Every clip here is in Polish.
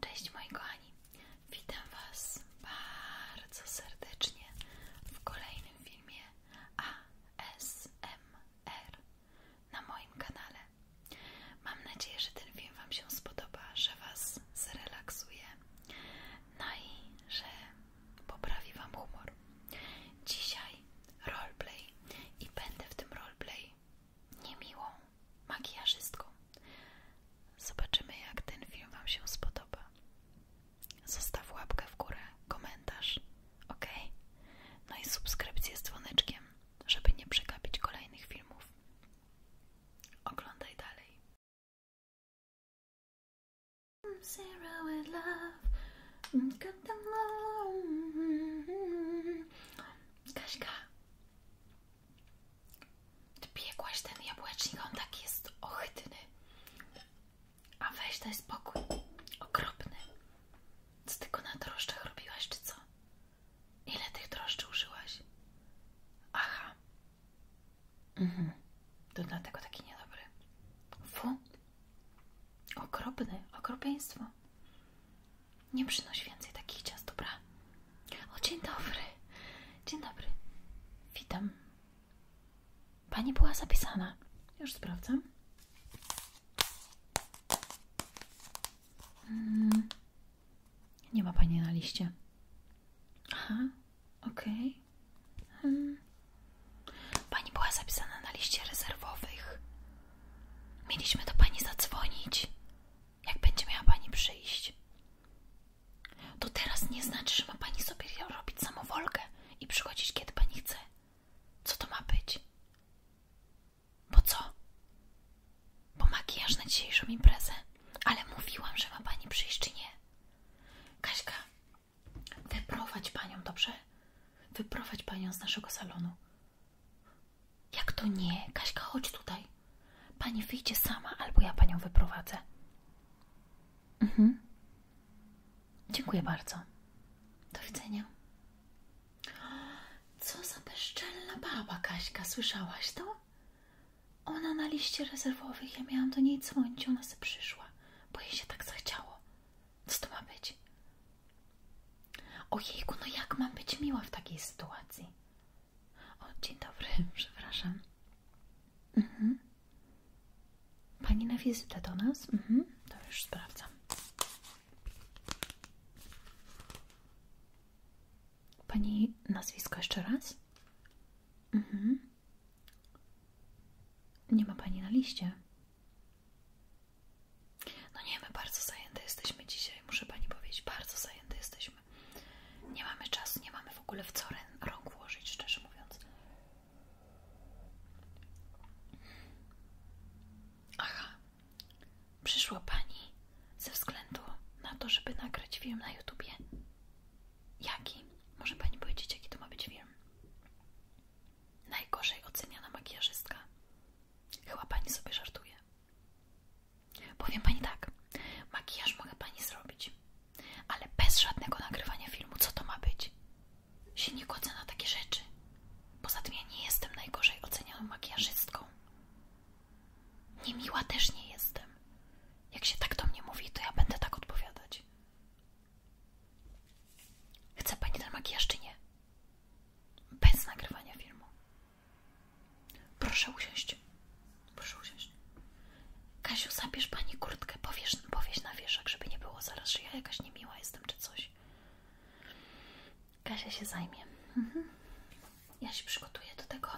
Cześć mojego Ani, witam Was bardzo serdecznie w kolejnym filmie ASMR na moim kanale. Mam nadzieję, że ten film Wam się spodoba, że Was zrelaksuje, no i że poprawi Wam humor. Dzisiaj roleplay i będę w tym roleplay niemiłą makijażystką. Zobaczymy, jak ten film Wam się spodoba. Zostaw łapkę w górę, komentarz, ok? No i subskrypcję z dzwoneczkiem, żeby nie przegapić kolejnych filmów. Oglądaj dalej. Zero Kaśka, ty ten jabłecznik, on tak jest ohydny. A weź daj spokój. Okropny. Co ty go na drożdżach robiłaś, czy co? Ile tych drożdży użyłaś? Aha. Mhm. To dlatego taki niedobry. Fu. Okropny. Okropieństwo. Nie przynoś więcej takich ciast, dobra? O, dzień dobry. Dzień dobry. Witam. Pani była zapisana. Już sprawdzam. Mm, nie ma pani na liście. Aha, ok. Hmm. Pani była zapisana na liście rezerwowych. Mieliśmy do pani zadzwonić jak będzie miała Pani przyjść. To teraz nie znaczy, że ma Pani sobie robić samowolkę i przychodzić, kiedy Pani chce. Co to ma być? Bo co? Bo makijaż na dzisiejszą imprezę. Ale mówiłam, że ma Pani przyjść, czy nie? Kaśka, wyprowadź Panią, dobrze? Wyprowadź Panią z naszego salonu. Jak to nie? Kaśka, chodź tutaj. Pani wyjdzie sama, albo ja panią wyprowadzę. Mhm. Dziękuję bardzo. Do widzenia. Co za bezczelna baba, Kaśka, słyszałaś to? Ona na liście rezerwowych, ja miałam do niej dzwonić, ona se przyszła, bo jej się tak zachciało. Co to ma być? Ojejku, no jak mam być miła w takiej sytuacji? O, dzień dobry, przepraszam. Mhm. Pani na wizytę do nas? Mhm. To już sprawdzam. Pani nazwisko jeszcze raz? Mhm. Nie ma pani na liście. No nie, my bardzo zajęte jesteśmy dzisiaj, muszę pani powiedzieć, bardzo zajęte jesteśmy. Nie mamy czasu, nie mamy w ogóle w co rąk włożyć, szczerze mówiąc. Aha, przyszła pani ze względu na to, żeby nagrać film na YouTubie. Jaki? Może pani powiedzieć, jaki to ma być film? Najgorzej oceniana makijażystka. Chyba pani sobie żartuje. Powiem Pani tak, makijaż mogę Pani zrobić, ale bez żadnego nagrywania filmu, co to ma być? Się nie godzę na takie rzeczy. Poza tym ja nie jestem najgorzej ocenioną makijażystką. Niemiła też nie jestem. Jak się tak do mnie mówi, to ja będę tak odpowiadać. Chce Pani ten makijaż, czy nie? Bez nagrywania filmu. Proszę usiąść. Proszę usiąść. Kasiu, zabierz pani kurtkę, powiesz, powieś na wieszak, żeby nie było zaraz, że ja jakaś niemiła jestem czy coś. Kasia się zajmie. Mhm. Ja się przygotuję do tego.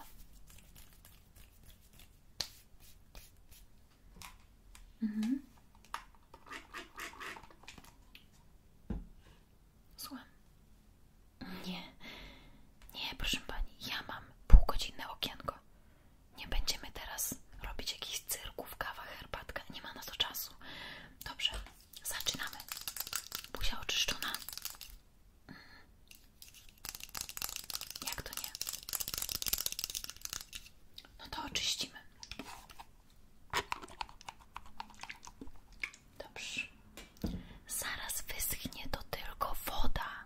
Mhm. Słucham. Nie, nie, proszę pani, ja mam półgodzinne okienko. Nie będziemy teraz robić jakichś cyrków, kawa, herbatka. Nie ma na to czasu. Dobrze, zaczynamy. Buzia oczyszczona. Mm. Jak to nie? No to oczyścimy. Zaraz wyschnie to tylko woda.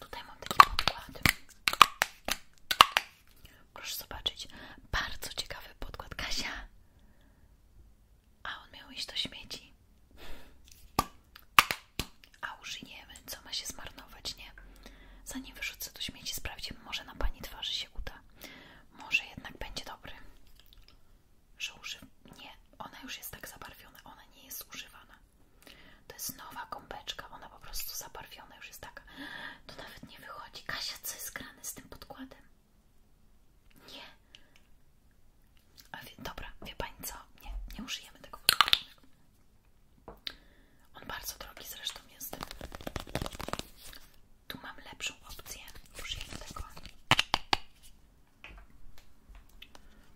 Tutaj mam taki podkład. Proszę zobaczyć. Bardzo ciekawy podkład. Kasia! A on miał iść do śmieci. A użyjemy. Co ma się zmarnować, nie? Zanim wyrzucę do śmieci, sprawdzimy. Może na pani twarzy się uda. Może jednak będzie dobry że używam. Nie, ona już jest tak zabarwiona, ona nie jest używana. To jest nowa gąbeczka, ona po prostu zabarwiona już jest taka. To nawet nie wychodzi. Kasia, co jest grane z tym podkładem? Nie. A wie, dobra, wie pani co? Nie, nie użyjemy tego podkładu. On bardzo drogi zresztą jest. Tu mam lepszą opcję. Użyjemy tego.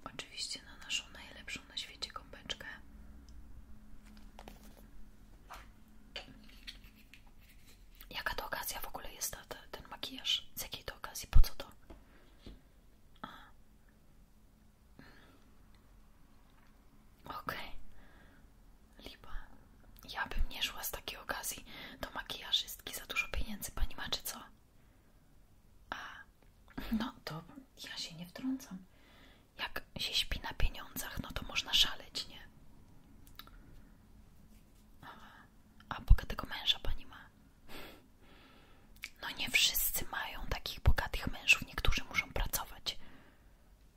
Oczywiście na naszą najlepszą na świecie kąpeczkę. Jaka to okazja w ogóle jest ta, ten makijaż? Z jakiej to okazji? Po co to? A. Okej. Okay. Lipa. Ja bym nie szła z takiej okazji do makijaży wszystkie za dużo pieniędzy pani ma, czy co? A, no to ja się nie wtrącam. Jak się śpi na pieniądzach, no to można szaleć, nie? A bogatego męża pani ma? No nie wszyscy mają takich bogatych mężów, niektórzy muszą pracować.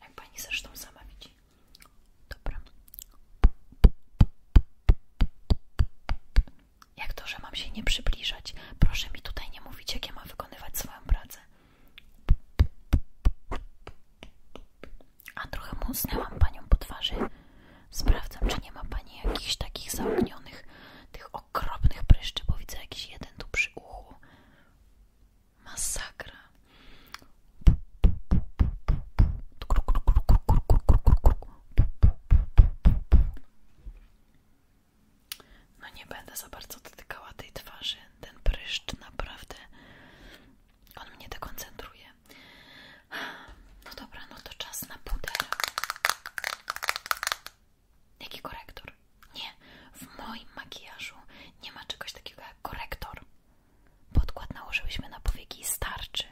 Jak pani zresztą sama widzi. Dobra. Jak to, że mam się nie przybliżać? Proszę mi tutaj nie mówić, jak ja mam wykonywać swoją pracę. A trochę muszę panią po twarzy. Sprawdzam, czy nie ma pani jakichś takich zaognionych, tych okropnych pryszczy, bo widzę jakiś jeden tu przy uchu. Masakra. No nie będę za bardzo dotykała tej twarzy. Ten pryszcz naprawdę on mnie dekoncentruje. No dobra, no to czas na pudel, Jaki korektor? Nie, w moim makijażu nie ma czegoś takiego jak korektor. Podkład nałożyliśmy na powieki i starczy.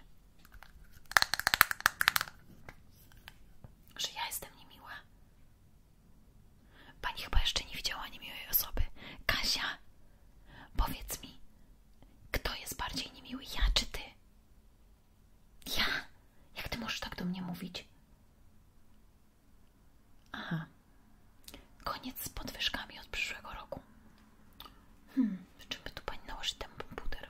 Że ja jestem niemiła. Pani chyba jeszcze nie widziała niemiłej osoby. Kasia, powiedz mi, kto jest bardziej niemiły, ja czy ty? Ja? Jak ty możesz tak do mnie mówić? Aha. Koniec z podwyżkami od przyszłego roku. Hmm, w czym by tu pani nałożyć ten komputer?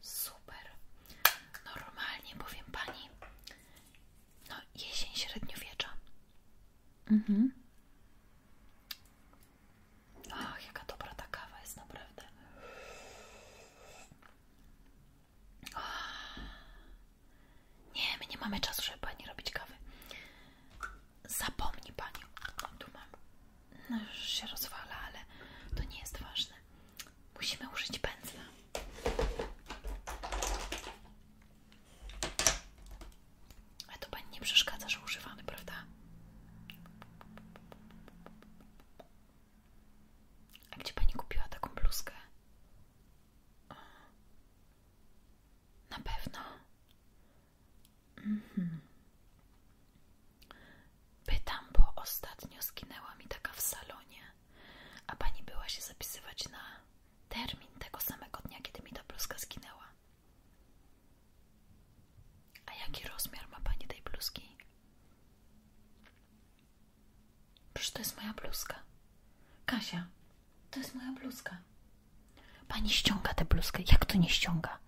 Super. Normalnie powiem pani. No, jesień średniowiecza. Mhm. Ach, jaka dobra ta kawa jest naprawdę. Ach. Nie, my nie mamy czasu, żeby pani robić kawy. Zapomni pani. No, tu mam. No już się rozwala, ale to nie jest ważne. Musimy użyć pędzla. Ale to pani nie przeszkadza, że używamy, prawda? A gdzie pani kupiła taką bluzkę? Na pewno. Mhm. Pytam, bo ostatnio skinęła mi taka w salonie, a pani była się zapisywać na termin tego samego dnia, kiedy mi ta bluzka skinęła. A jaki rozmiar ma pani tej bluzki? Przecież to jest moja bluzka. Kasia, to jest moja bluzka. Pani ściąga tę bluzkę. Jak to nie ściąga?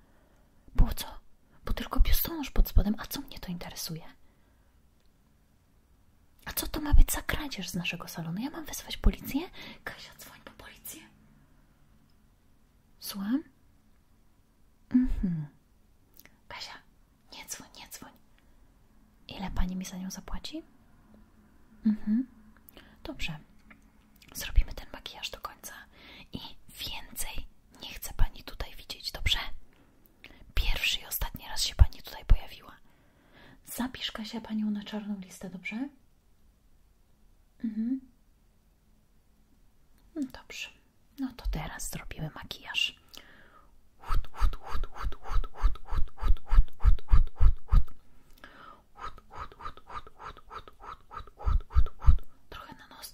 Było co? bo tylko biustonosz pod spodem, a co mnie to interesuje? A co to ma być za kradzież z naszego salonu? Ja mam wysłać policję? Kasia, dzwoń po policję. Słucham? Mhm. Kasia, nie dzwoń, nie dzwoń. Ile pani mi za nią zapłaci? Mhm. Dobrze. Zrobimy ten makijaż do końca i więcej nie chcę pani tutaj widzieć, dobrze? Pierwszy i ostatni raz się pani tutaj pojawiła. Zapisz Kasia panią na czarną listę, dobrze? Mhm. No dobrze. No to teraz zrobimy makijaż. Hut, hut, hut, hut, hut, hut, hut, hut, hut, hut, hut, hut, hut. Hut, hut, hut, hut, hut, hut, hut, hut, hut, hut, hut. Trochę na nos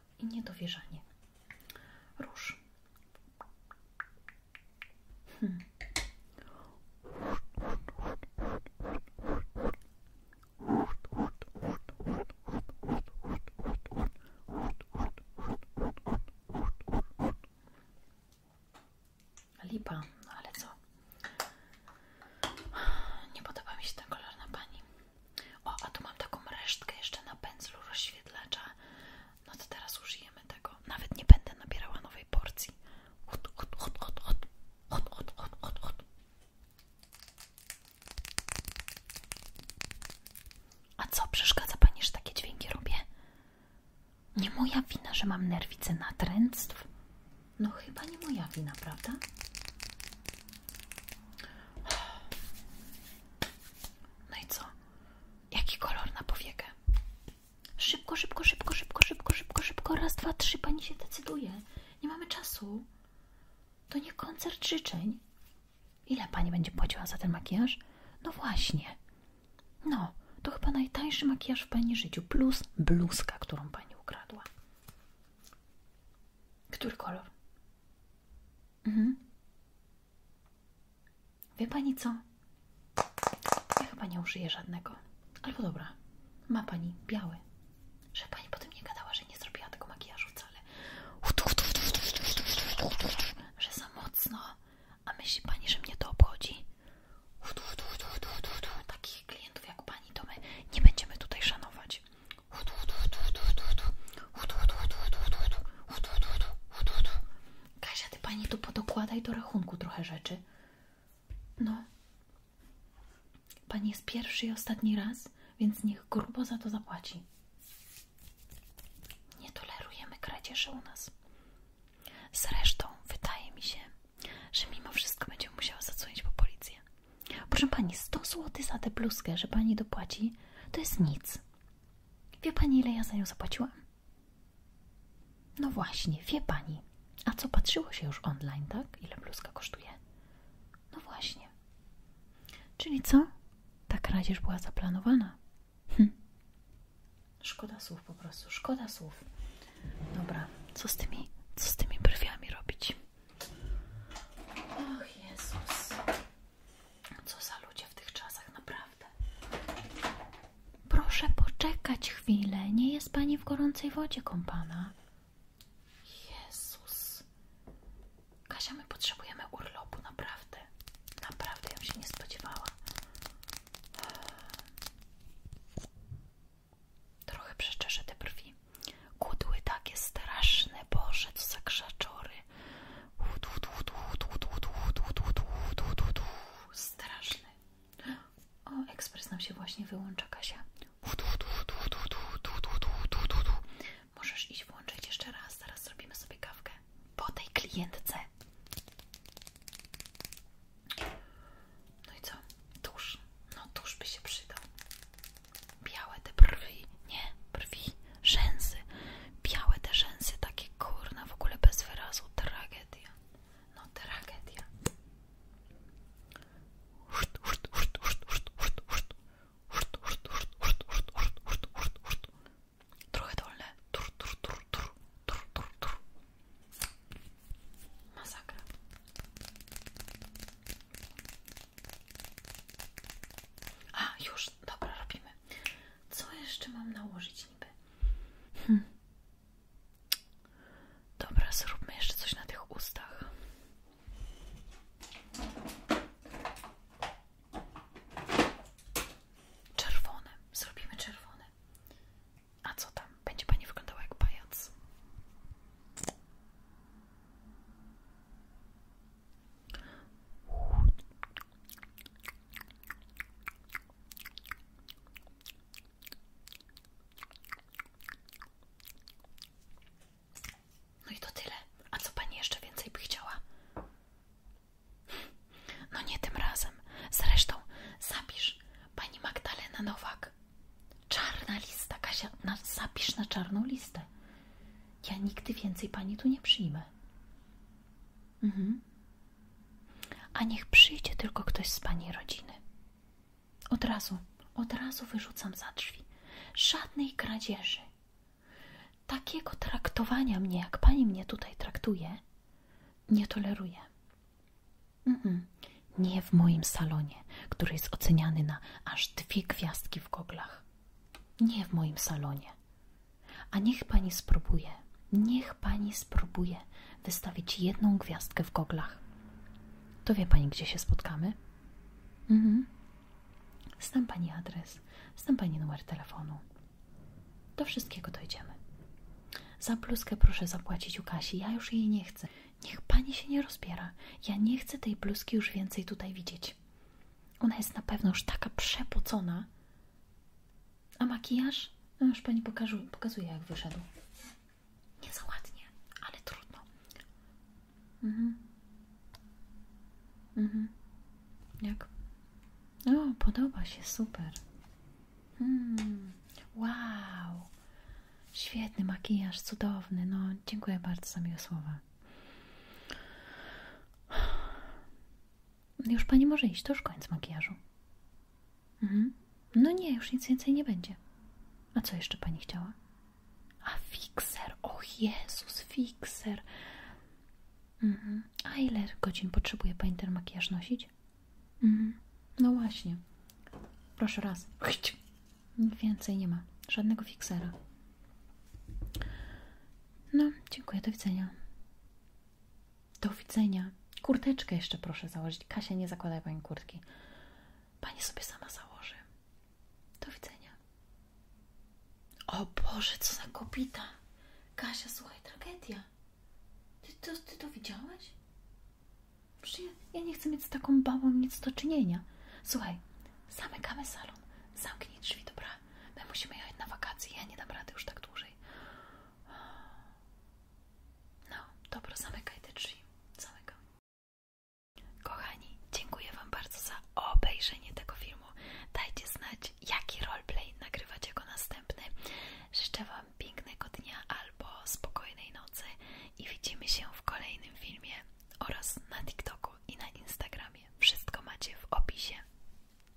szok i niedowierzanie. Róż. Hmm. Lipa, no ale co? Nie podoba mi się ten kolor na pani. O, a tu mam taką resztkę jeszcze na pędzlu rozświetlacza. No to teraz użyjemy tego. Nawet nie będę nabierała nowej porcji. Hot, hot, hot, hot, hot, hot, hot, hot, hot, hot. A co przeszkadza pani, że takie dźwięki robię? Nie moja wina, że mam nerwice natręctw. No chyba nie moja wina, prawda? No i co? Jaki kolor na powiekę? Szybko, szybko, szybko, szybko, szybko, szybko, szybko. Raz, dwa, trzy. Pani się decyduje. Nie mamy czasu. To nie koncert życzeń. Ile pani będzie płaciła za ten makijaż? No właśnie. No, to chyba najtańszy makijaż w pani życiu. Plus bluzka, którą pani ukradła. Który kolor? Mhm. Wie pani co? Ja chyba nie użyję żadnego. Albo dobra, ma pani biały. Że pani potem nie gadała, że nie zrobiła tego makijażu wcale. Że za mocno. A myśli pani, że mnie to obchodzi? Takich klientów jak pani to my nie będziemy tutaj szanować. Kasia, ty pani tu podokładaj do rachunku trochę rzeczy. No. Pani jest pierwszy i ostatni raz, więc niech grubo za to zapłaci. Nie tolerujemy kradzieży u nas. Zresztą wydaje mi się, że mimo wszystko będziemy musiała zadzwonić po policję. Proszę pani, 100 zł za tę pluskę, że pani dopłaci, to jest nic. Wie pani, ile ja za nią zapłaciłam? No właśnie, wie pani. A co patrzyło się już online, tak? Ile bluzka kosztuje? No właśnie. Czyli co? Tak kradzież była zaplanowana. Hm. Szkoda słów po prostu, szkoda słów. Dobra, co z tymi, co z tymi brwiami robić? Och Jezus. Co za ludzie w tych czasach, naprawdę. Proszę poczekać chwilę. Nie jest pani w gorącej wodzie kompana? Jezus. Kasia, my potrzebujemy urlopu, naprawdę. Naprawdę, ja się nie spodziewała. Trochę przeczeszę te brwi. Kudły takie straszne, Boże, co za krzaczory. Straszny. O, ekspres nam się właśnie wyłącza, Kasia. Możesz iść włączyć jeszcze raz, zaraz zrobimy sobie kawkę. Po tej klientce. No i co? Tuż. No tuż by się przydał. Białe te brwi. Nie, brwi rzęsy, białe te rzęsy, takie kurna, w ogóle bez wyrazu, tragedia, no tragedia. Trochę dolne. Tur, tur, tur, tur, tur, tur, tur. Masakra. A, już, dobra, robimy. Co jeszcze mam nałożyć niby? Hm. Dobra, zróbmy jeszcze coś na tych ustach. Czerwone. Zrobimy czerwone. A co tam? Będzie pani wyglądała jak pajac. No i to tyle. A co pani jeszcze więcej by chciała? No nie tym razem. Zresztą zapisz pani Magdalena Nowak. Czarna lista, Kasia, na, zapisz na czarną listę. Ja nigdy więcej pani tu nie przyjmę. Mhm. A niech przyjdzie tylko ktoś z pani rodziny. Od razu, od razu wyrzucam za drzwi. Żadnej kradzieży. Takiego traktowania mnie, jak pani mnie tutaj traktuje, nie toleruję. Nie w moim salonie, który jest oceniany na aż dwie gwiazdki w goglach. Nie w moim salonie. A niech pani spróbuje, niech pani spróbuje wystawić jedną gwiazdkę w goglach. To wie pani, gdzie się spotkamy? Mhm. Znam pani adres, znam pani numer telefonu. Do wszystkiego dojdziemy. Za bluzkę proszę zapłacić u Kasi, ja już jej nie chcę. Niech pani się nie rozbiera. Ja nie chcę tej bluzki już więcej tutaj widzieć. Ona jest na pewno już taka przepocona, a makijaż? No już pani pokażu, pokazuje, jak wyszedł. Nie za ładnie, ale trudno. Mhm. Mhm. Jak? O, podoba się, super. Mm, wow. Świetny makijaż, cudowny. No, dziękuję bardzo za miłe słowa. Już pani może iść, to już koniec makijażu. Mhm. No nie, już nic więcej nie będzie. A co jeszcze pani chciała? A fikser, o Jezus, fikser. Mhm. A ile godzin potrzebuje pani ten makijaż nosić? Mhm. No właśnie. Proszę raz. Nic Więcej nie ma. Żadnego fiksera. No, dziękuję, do widzenia. Do widzenia. Kurteczkę jeszcze proszę założyć. Kasia, nie zakładaj pani kurtki. Pani sobie sama założy. Do widzenia. O Boże, co za kopita. Kasia, słuchaj, tragedia. Ty to, ty to widziałaś? Przecież ja, ja nie chcę mieć z taką babą nic do czynienia. Słuchaj, zamykamy salon. Zamknij drzwi, dobra? My no musimy jechać na wakacje, ja nie dam rady już tak dłużej. No, dobra, zamykaj te drzwi. Kochani, dziękuję Wam bardzo za obejrzenie tego filmu. Dajcie znać, jaki roleplay nagrywać jako następny. Życzę Wam pięknego dnia albo spokojnej nocy i widzimy się w kolejnym filmie oraz na TikToku i na Instagramie. Wszystko macie w opisie.